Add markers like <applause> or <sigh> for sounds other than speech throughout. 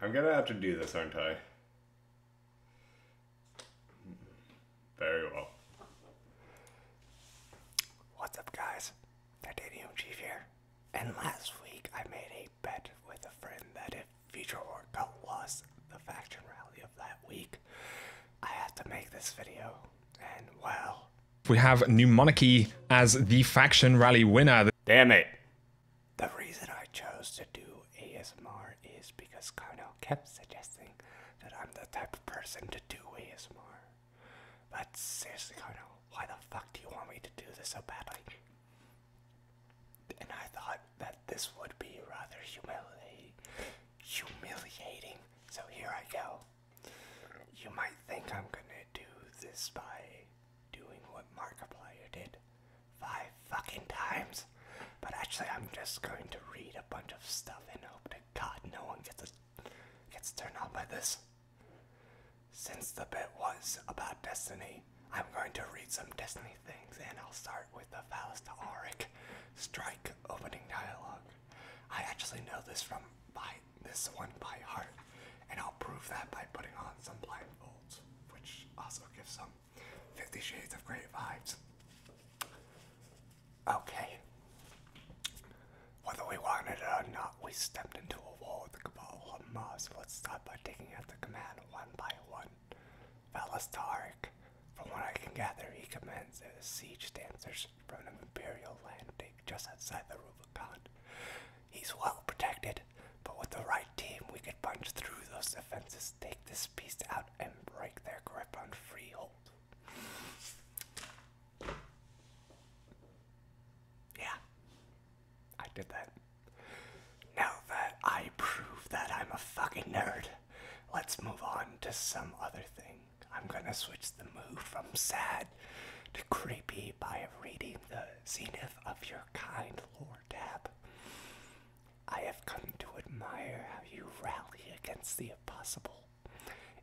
I'm gonna have to do this, aren't I? Very well. What's up, guys? Titanium Chief here. And last week I made a bet with a friend that if Future Orca lost the faction rally of that week, I had to make this video. And well, we have Numonarchy as the faction rally winner. Damn it. The reason I chose to do ASMR is because Colonel kept suggesting that I'm the type of person to do ASMR. But seriously, Colonel, why the fuck do you want me to do this so badly? And I thought that this would be rather Humiliating. So here I go. You might think I'm gonna do this by doing what Markiplier did five fucking times, but actually I'm just going to read a bunch of stuff and hope to God no one gets gets turned on by this. Since the bit was about Destiny, I'm going to read some Destiny things, and I'll start with the Faust Strike opening dialogue. I actually know this from by this one by heart, and I'll prove that by putting on some blindfolds, which also gives some Fifty Shades of Great vibes. Okay. Whether we want it or not, we stepped into a war of the Cabal Hamas. Let's start by taking out the command one by one. Velastark, from what I can gather, he commands the siege dancers from an imperial landing just outside the Rubicon. He's well protected, but with the right team, we could punch through those defenses, take this beast out, and break their grip on Freehold. Yeah, I did that. Now that I prove that I'm a fucking nerd, let's move on to some other thing. I'm going to switch the mood from sad to creepy by reading the Zenith of Your Kind Lord tab. I have come to admire how you rally against the impossible.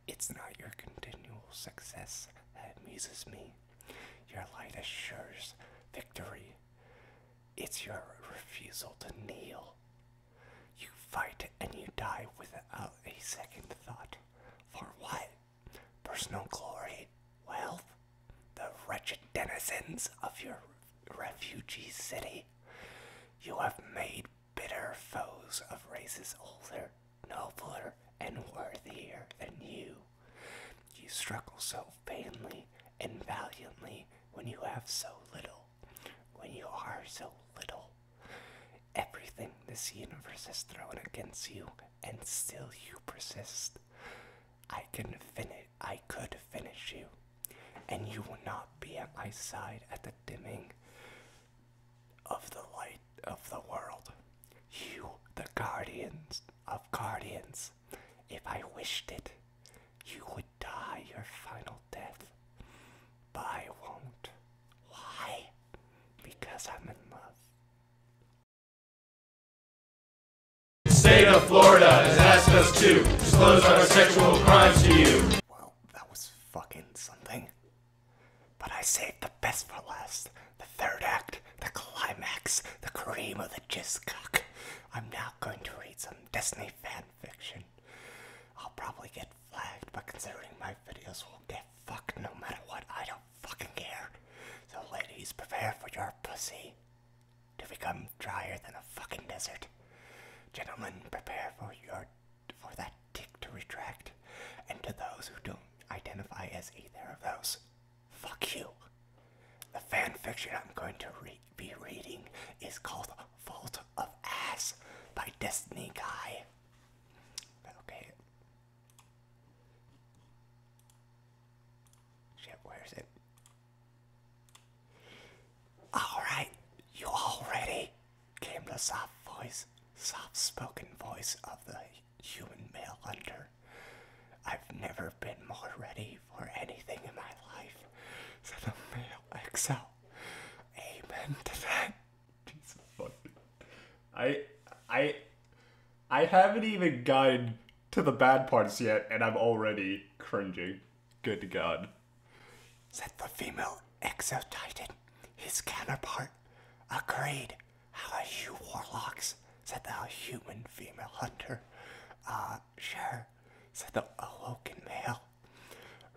It's not your continual success that amuses me. Your light assures victory. It's your refusal to kneel you fight and you die without a second thought. For what? Personal glory? Wealth? The wretched denizens of your refugee city? You have made bitter foes of races older, nobler, and worthier than you. You struggle so vainly and valiantly when you have so little. When you are so little, everything this universe has thrown against you, and still you persist. I can finish. I could finish you, and you will not be at my side at the dimming of the light of the world. You, the guardians of guardians, if I wished it, you would die your final death, but I won't. Why? Because I'm in love. The state of Florida has asked us to disclose our sexual crimes to you. Well, that was fucking something. But I saved the best for last. The third act, the climax, the cream of the jizz I'm now going to read some Destiny fan Fiction. I'll probably get flagged, but considering my videos will get fucked no matter what, I don't fucking care. The ladies, prepare for your pussy to become drier than a fucking desert. Gentlemen, prepare for your for that dick to retract. And to those who don't identify as either of those, fuck you. The fan fiction I'm going to read be reading is called Fault of Ass by Destiny Guy. Okay. Shit, where is it? Alright, you all Came the soft voice, soft spoken voice of the human male hunter. I've never been more ready for anything in my life, said the male exile Amen to Jesus fucking. I I I haven't even gone to the bad parts yet, and I'm already cringing. Good God. Said the female exotitan, his counterpart, agreed. How are you, warlocks? Said the human female hunter. Uh, sure, said the awoken male.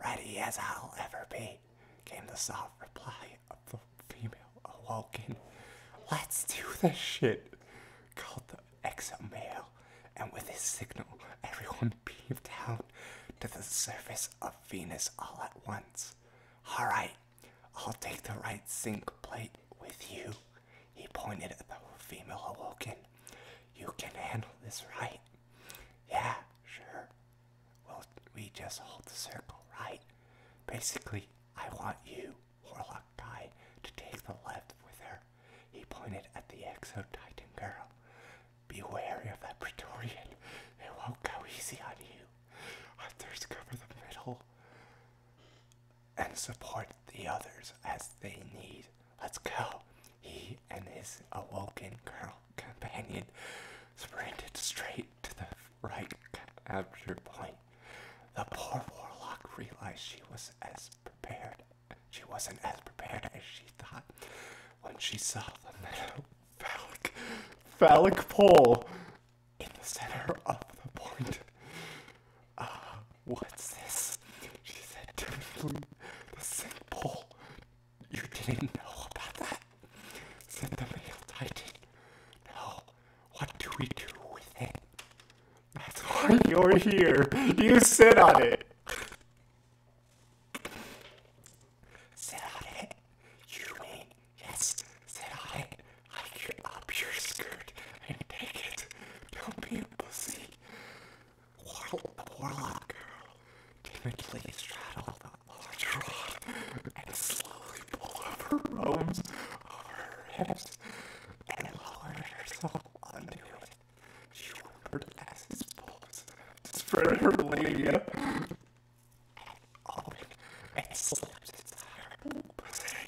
Ready as I'll ever be, came the soft reply of the female awoken. Let's do the shit, called the exo male, and with his signal, everyone peeped <laughs> down to the surface of Venus all at once. Alright, I'll take the right sink plate with you, he pointed at the female Awoken. You can handle this, right? Yeah, sure. Well, we just hold the circle, right? Basically, I want you, Warlock Guy, to take the left with her. He pointed at the Exo Titan girl. Be wary of that Praetorian. It won't go easy on you. Others cover the middle and support the others as they need. Let's go. He and his awoken girl companion sprinted straight to the right after point. The poor warlock realized she was as prepared. She wasn't as prepared as she thought when she saw the little phallic, phallic pole in the center of the point. Uh, What's this? She said to the sick pole. You didn't know about that? Said the male titan. No. What do we do with it? That's why you're here. You sit on it. Sit on it? You mean, yes, sit on it. I can up your skirt and take it. Don't be a pussy. Warlock girl timidly straddled the large rod and slowly pulled up her robes over her hips and lowered herself onto it. She whimpered as his pulse spread her labia and opened and slipped inside her pussy.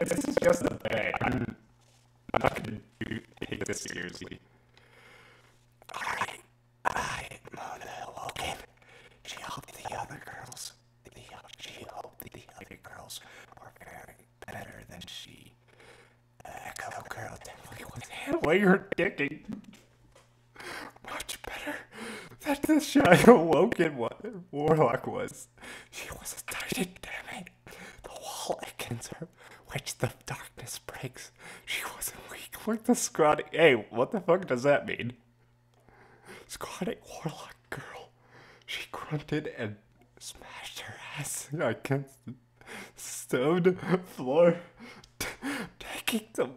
this is just a bag. I'm, not going to take this seriously. Alright, I, Mona, woke him. She hoped the other girls, she hoped the other girls were very better than she. Uh, Echo Girl definitely was handling her dicking much better than <laughs> the Shadow Woken Warlock was. She was a titan, damn it. <laughs> the wall against her, which the darkness breaks. She wasn't weak like the scrawny. Hey, what the fuck does that mean? Scrawny warlock girl. She grunted and smashed her ass against the stoned floor, <laughs> taking the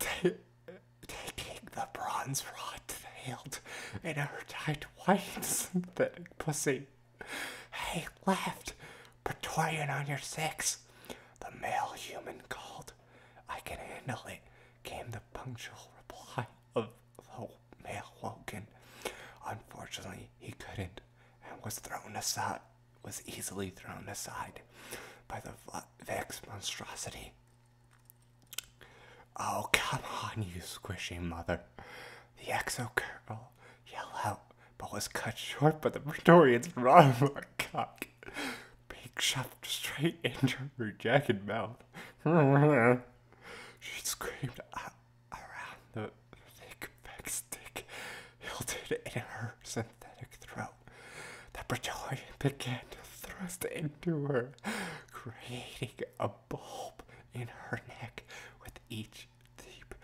taking the bronze rod to the hilt and her tight white synthetic pussy. Hey, left, Praetorian on your six. The male human called. I can handle it, came the punctual reply of the male Woken. Unfortunately, he couldn't and was thrown aside, was easily thrown aside by the Vex monstrosity. Oh, come on, you squishy mother. The exo girl yelled out, but was cut short by the Praetorian's Ronald <laughs> oh, cock. Being shoved straight into her jacket mouth. she screamed out around the thick Vex stick hilted in her synthetic throat. The Bridgelion <laughs> began to thrust into her, creating a bulb in her neck with each deep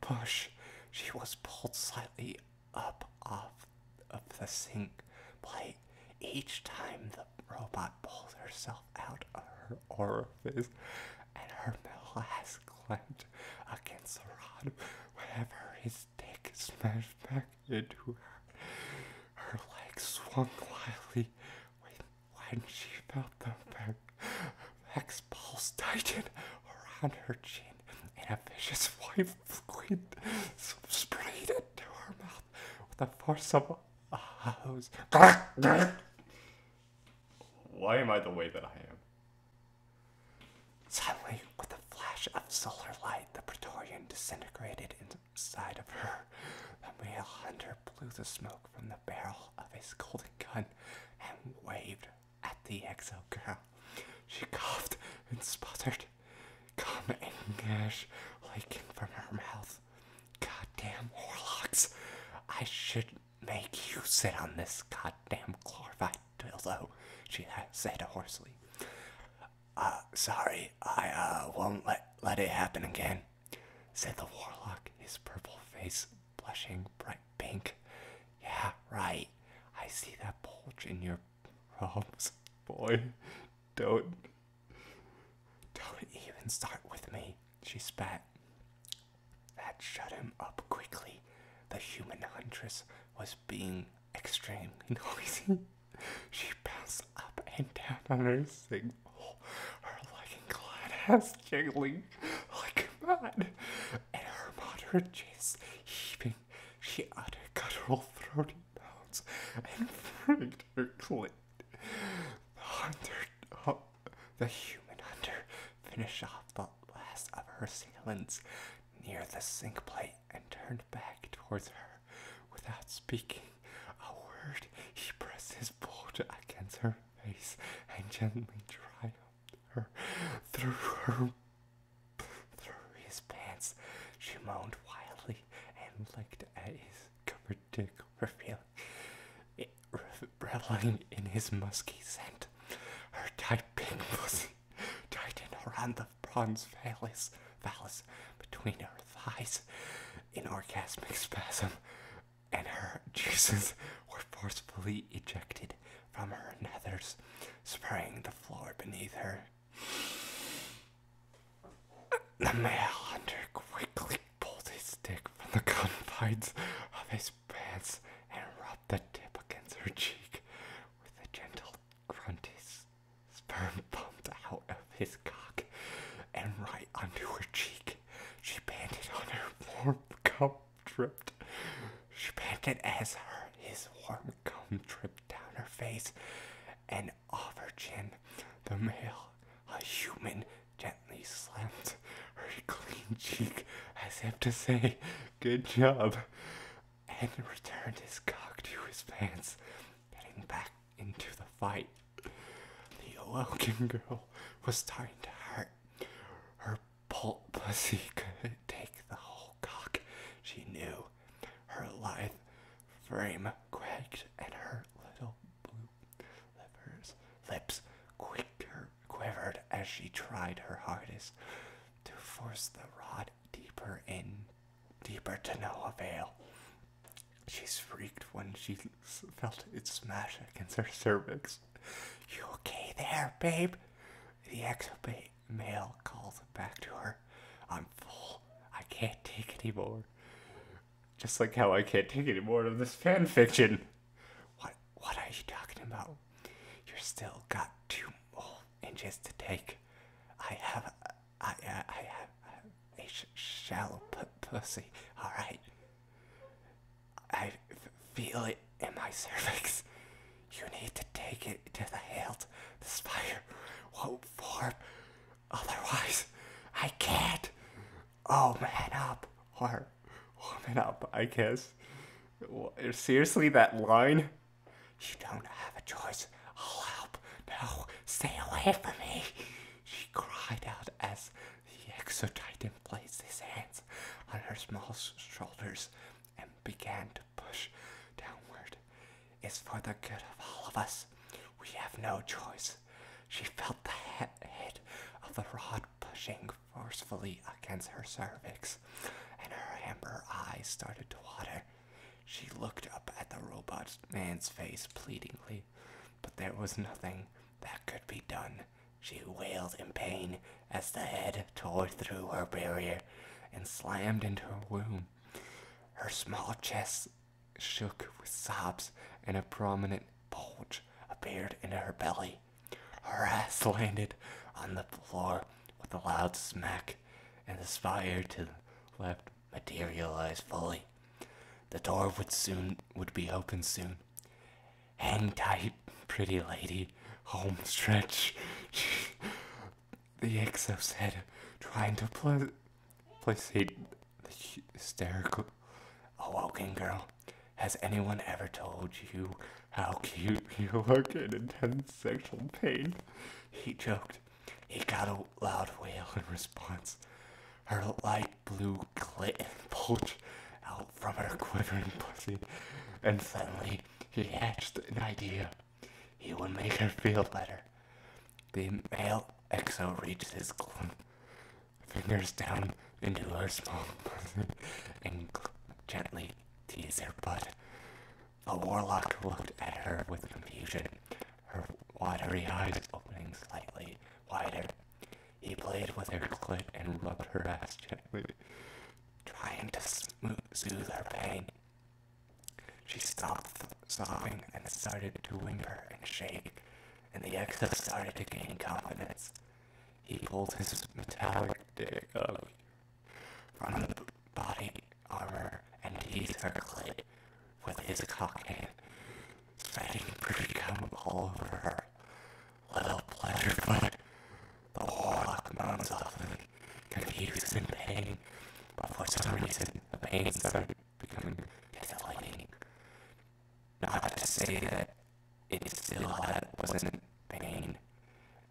push. She was pulled slightly up off of the sink plate each time the robot pulled herself out of her orifice and her metal has clamped against the rod whenever his dick smashed back into her. Her legs swung wildly when, when she felt them back. Mac's pulse tightened around her chin, and a vicious white squid sprayed to her mouth with the force of a hose. Why am I the way that I am? Suddenly, with a flash of solar light, the Praetorian disintegrated inside of her. The male hunter blew the smoke from the barrel of his golden gun and waved at the exo girl. She coughed and spluttered, Come English," gash leaking from her mouth. Goddamn warlocks. I should make you sit on this goddamn chlorophyte." although she said hoarsely. Uh, sorry, I uh, won't let, let it happen again, said the warlock, his purple face blushing bright pink. Yeah, right. I see that bulge in your robes, boy. Don't. Don't even start with me, she spat. That shut him up quickly the human huntress was being extremely noisy. <laughs> she bounced up and down on her single, oh, her legging clad ass jiggling like mad, and her moderate chest heaving. She uttered guttural throaty bounds and freaked her clit. The hunter, oh, the human hunter, finished off the last of her assailants near the sink plate and turned back towards her without speaking a word. He pressed his boot against her face and gently dragged her through her through his pants. She moaned wildly and licked at his covered dick, revealing, it, revealing in his musky scent. Her tight pink pussy <laughs> tighten around the bronze phallus, phallus between her thighs in orgasmic spasm, and her juices were forcefully ejected from her nethers, spraying the floor beneath her. The male hunter quickly pulled his stick from the confines of his pants and rubbed the tip against her cheek. With a gentle grunt, his sperm pumped out of his cock and right onto her cheek. She panted on her warm cum dripped. She panted as her his warm cum dripped down her face and off her chin. The male, a human, gently slammed <laughs> her clean cheek as if to say, Good job, and returned his cock to his pants, getting back into the fight. The awoken girl was starting to hurt. Her pulp pussy <laughs> could take the whole cock, she knew. Her lithe frame quaked and her little blue livers, lips quivered quivered as she tried her hardest to force the rod deeper in, deeper to no avail. She shrieked when she felt it smash against her cervix. You okay there, babe? The ex male calls back to her. I'm full. I can't take any more. Just like how I can't take any more of this fan fiction. What what are you talking about? You're still got two more inches to take. I have I I, have a sh shallow pussy. All right. I feel it in my cervix. You need to take it to the hilt. The spider won't form. Otherwise, I can't. Oh, man up. Or Warm it up, I guess. Seriously, that line? You don't have a choice. I'll help. No, stay away from me. She cried out as the exotitan placed his hands on her small shoulders and began to push downward. It's for the good of all of us. We have no choice. She felt the head of the rod pushing forcefully against her cervix, and her amber eyes started to water. She looked up at the robot man's face pleadingly, but there was nothing that could be done. She wailed in pain as the head tore through her barrier and slammed into her womb. Her small chest shook with sobs, and a prominent bulge appeared in her belly. Her ass <laughs> landed on the floor with a loud smack, and the spire to the left materialized fully. The door would soon would be open soon. Hang tight, pretty lady. Home stretch. <laughs> the exo said, trying to pl- placate the hysterical awoken girl has anyone ever told you how cute <laughs> you look in intense sexual pain? He joked. He got a loud wail in response. Her light blue clit bulged out from her quivering pussy, and suddenly he hatched an idea. He would make her feel better. The male exo reached his fingers down into her small bosom and gently tease her butt. The warlock looked at her with confusion, her watery eyes opening slightly wider. He played with her clit and rubbed her ass gently, trying to smooth, soothe her pain. She stopped sobbing and started to whimper and shake, and the exo started to gain confidence. He pulled his metallic dick up from the body armor and teased her clit with his cock hand, spreading pretty cum all over her. Little pleasure foot, the warlock moaned softly, confused in pain, but for some reason the pain is becoming desolating. Not to say that it still had, wasn't pain,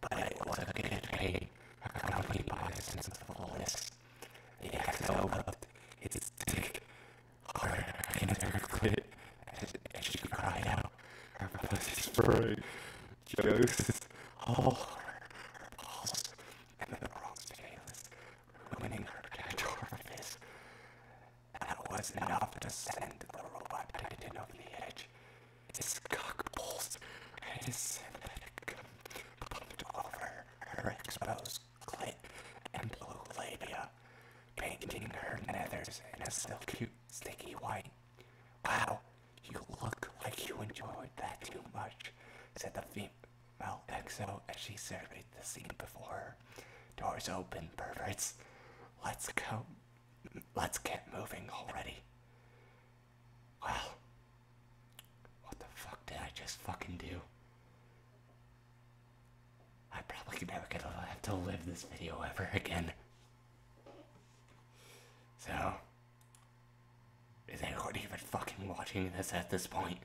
but it was a good pain accompanied by a sense of fullness. The XO rubbed its thick, hard, in her clit as, as she cried out, her pussy spurred. Joseph's all her, her balls and the bronze tails ruining her catch orifice. That was enough to send the robot titan over the edge. His cock pulsed, and his synthetic pumped over her exposed clit and blue labia, painting her nethers in a silky, sticky white. Wow, you look like you enjoyed that too much, said the female exo as she surveyed the scene before. Doors open, perverts. Let's go. Let's get moving already. Well, what the fuck did I just fucking do? I probably never gonna to live this video ever again. So, is anyone even fucking watching this at this point?